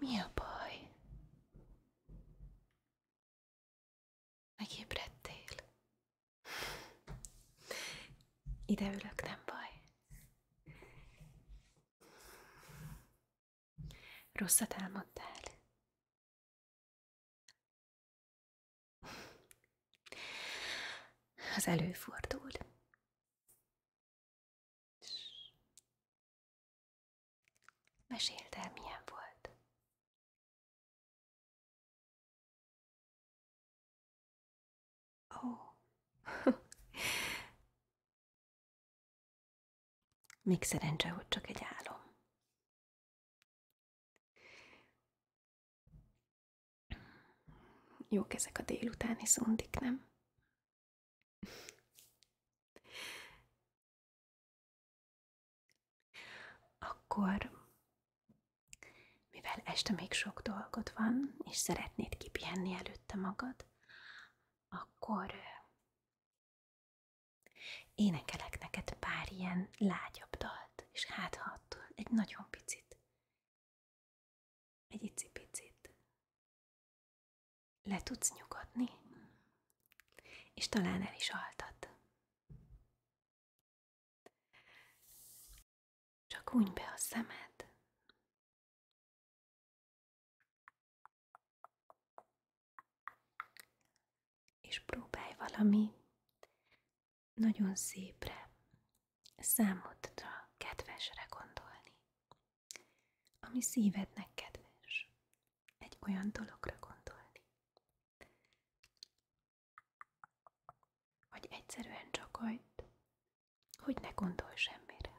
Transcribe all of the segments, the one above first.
Mi a baj? Megébredtél? Ide ülök, nem baj. Rosszat álmodtál? Az előfordul. Meséld el, milyen volt. Ó. Oh. Még szerencse, hogy csak egy álom. Jó ezek a délutáni szundik, nem? Akkor, mivel este még sok dolgod van, és szeretnéd kipihenni előtte magad, akkor Énekelek neked pár ilyen lágyabb dalt, és hát ha attól egy nagyon picit, egy icipicit le tudsz nyugodni, és talán el is altat. Csak unj be a szemed, és próbálj valami nagyon szépre, számodra kedvesre gondolni, ami szívednek kedves, egy olyan dologra gondolni, vagy egyszerűen csak hogy, hogy ne gondolj semmire,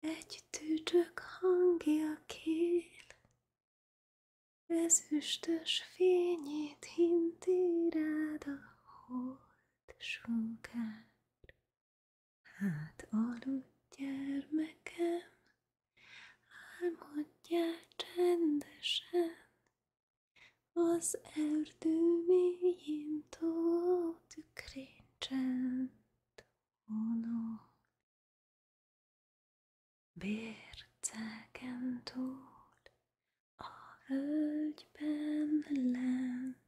Egy tücsök hangja kél, ezüstös fényét hinti rád a holt sunkár. Hát aludj, gyermekem, álmodjál csendesen, az erdő mélyén tó tükréncsend Uno. Bércáken túl, a völgyben lent,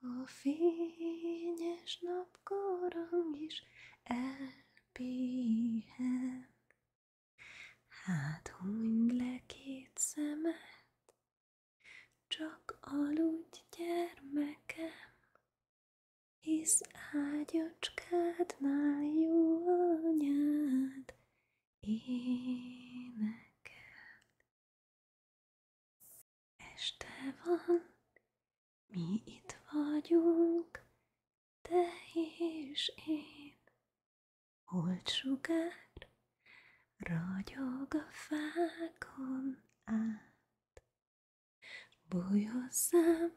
a fényes napkorang is elpihen. Hát hunyd le két szemet, csak aludj, gyermekem, hisz ágyacskádnál jó anyád énekel. Este van, mi itt vagyunk, te és én. Holtsugár ragyog a fákon át. Bújj hozzám,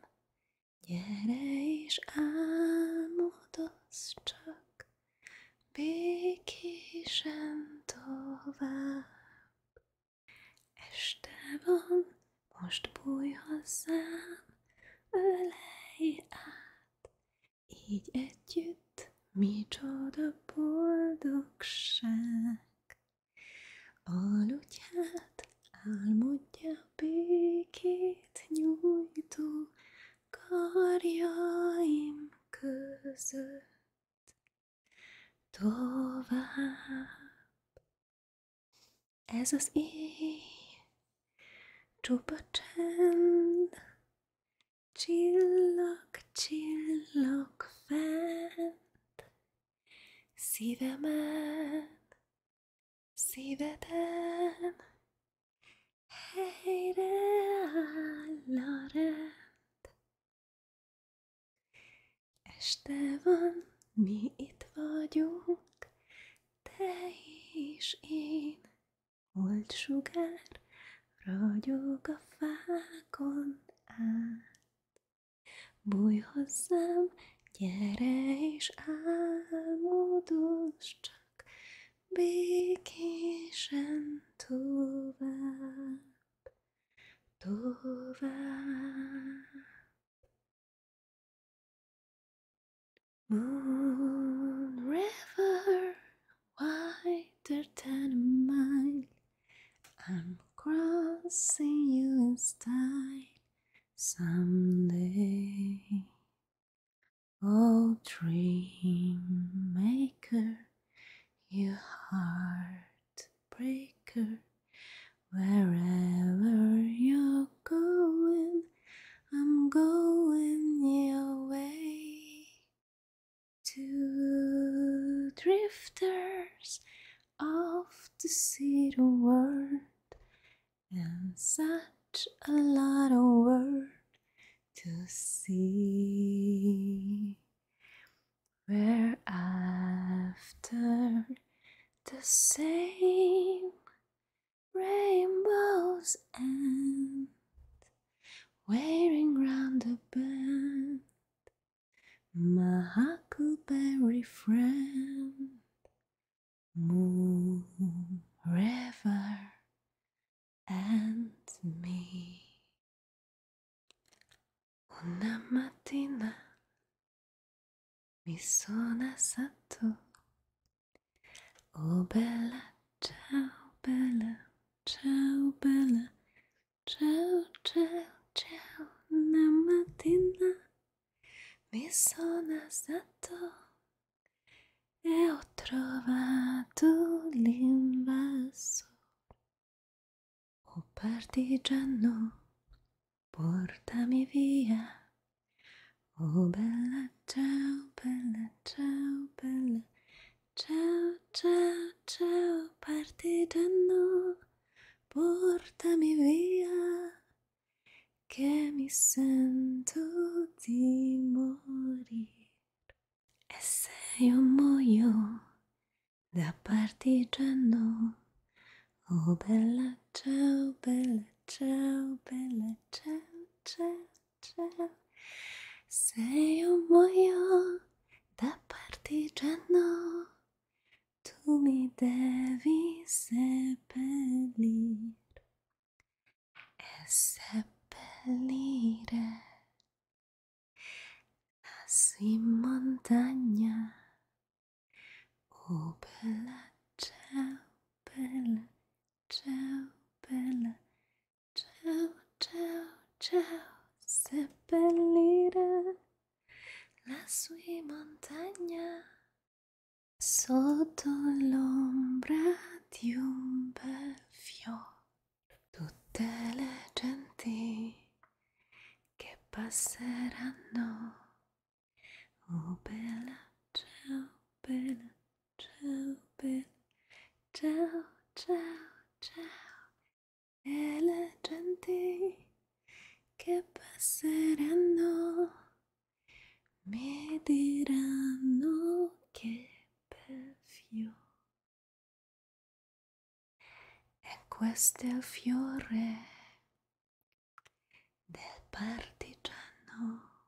gyere és álmodozz csak, békésen tovább. Este van, most bújj hozzám, ölelj át, így együtt Micsoda boldogság! Aludját álmodja békét nyújtó karjaim között. Tovább ez az éj, csupa csend, Csillag, csillag fent, szívemen, szíveden, helyreáll a rend. Este van, mi itt vagyunk, te és én, holt sugár, Ragyog a fákon át. Bújj hozzám, gyere és álmodozz csak békésen tovább, tovább. Moon River, wider than a mile. I'm crossing you in style someday. Oh, dream maker, you heartbreaker, wherever you're going, I'm going your way. Two drifters of the city world, and such a lot of world to see. We're after the same rainbows and wearing round a band, my huckleberry friend, moon, river, and me. Una mattina mi sono assato O bella, ciao bella, ciao bella, ciao ciao ciao, mi sono alzato e ho trovato l'invaso. O partigiano, portami via. O bella ciao bella, ciao bella, ciao ciao ciao partigiano, portami via che mi sento di morire. E se io muoio da partigiano, oh bella ciao bella, ciao bella, ciao ciao. Se io muoio da partigiano, tu mi devi seppellir e seppellire lassù in montagna o oh, bella ciao bella ciao bella, ciao ciao ciao, seppellire la sua montagna sotto l'ombra di un bel fiore. Tutte le genti che passeranno, oh bella, ciao bella ciao bella, ciao, ciao, ciao, e la gente che passeranno mi diranno che bel fiore. E questo è il fiore del partigiano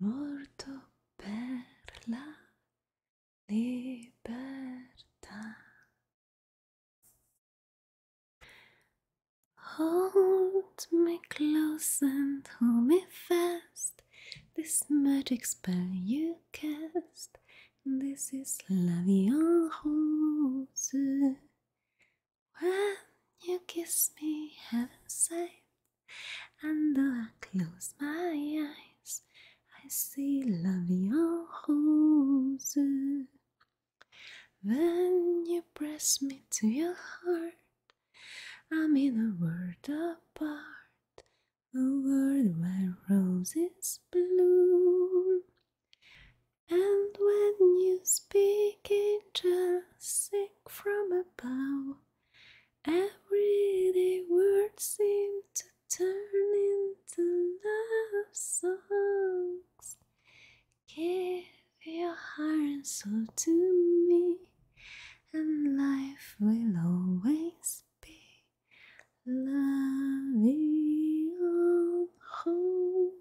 molto per la libertà. Hold me close and hold me fast. This magic spell you cast. This is love, your rose. When you kiss me, heaven's safe. And though I close my eyes, I see love your rose. When you press me to your heart, I'm in a world apart, a world where roses bloom. And when you speak, angels sing from above. Every day words seem to turn into love songs. Give your heart and soul to me, and life will always be loving on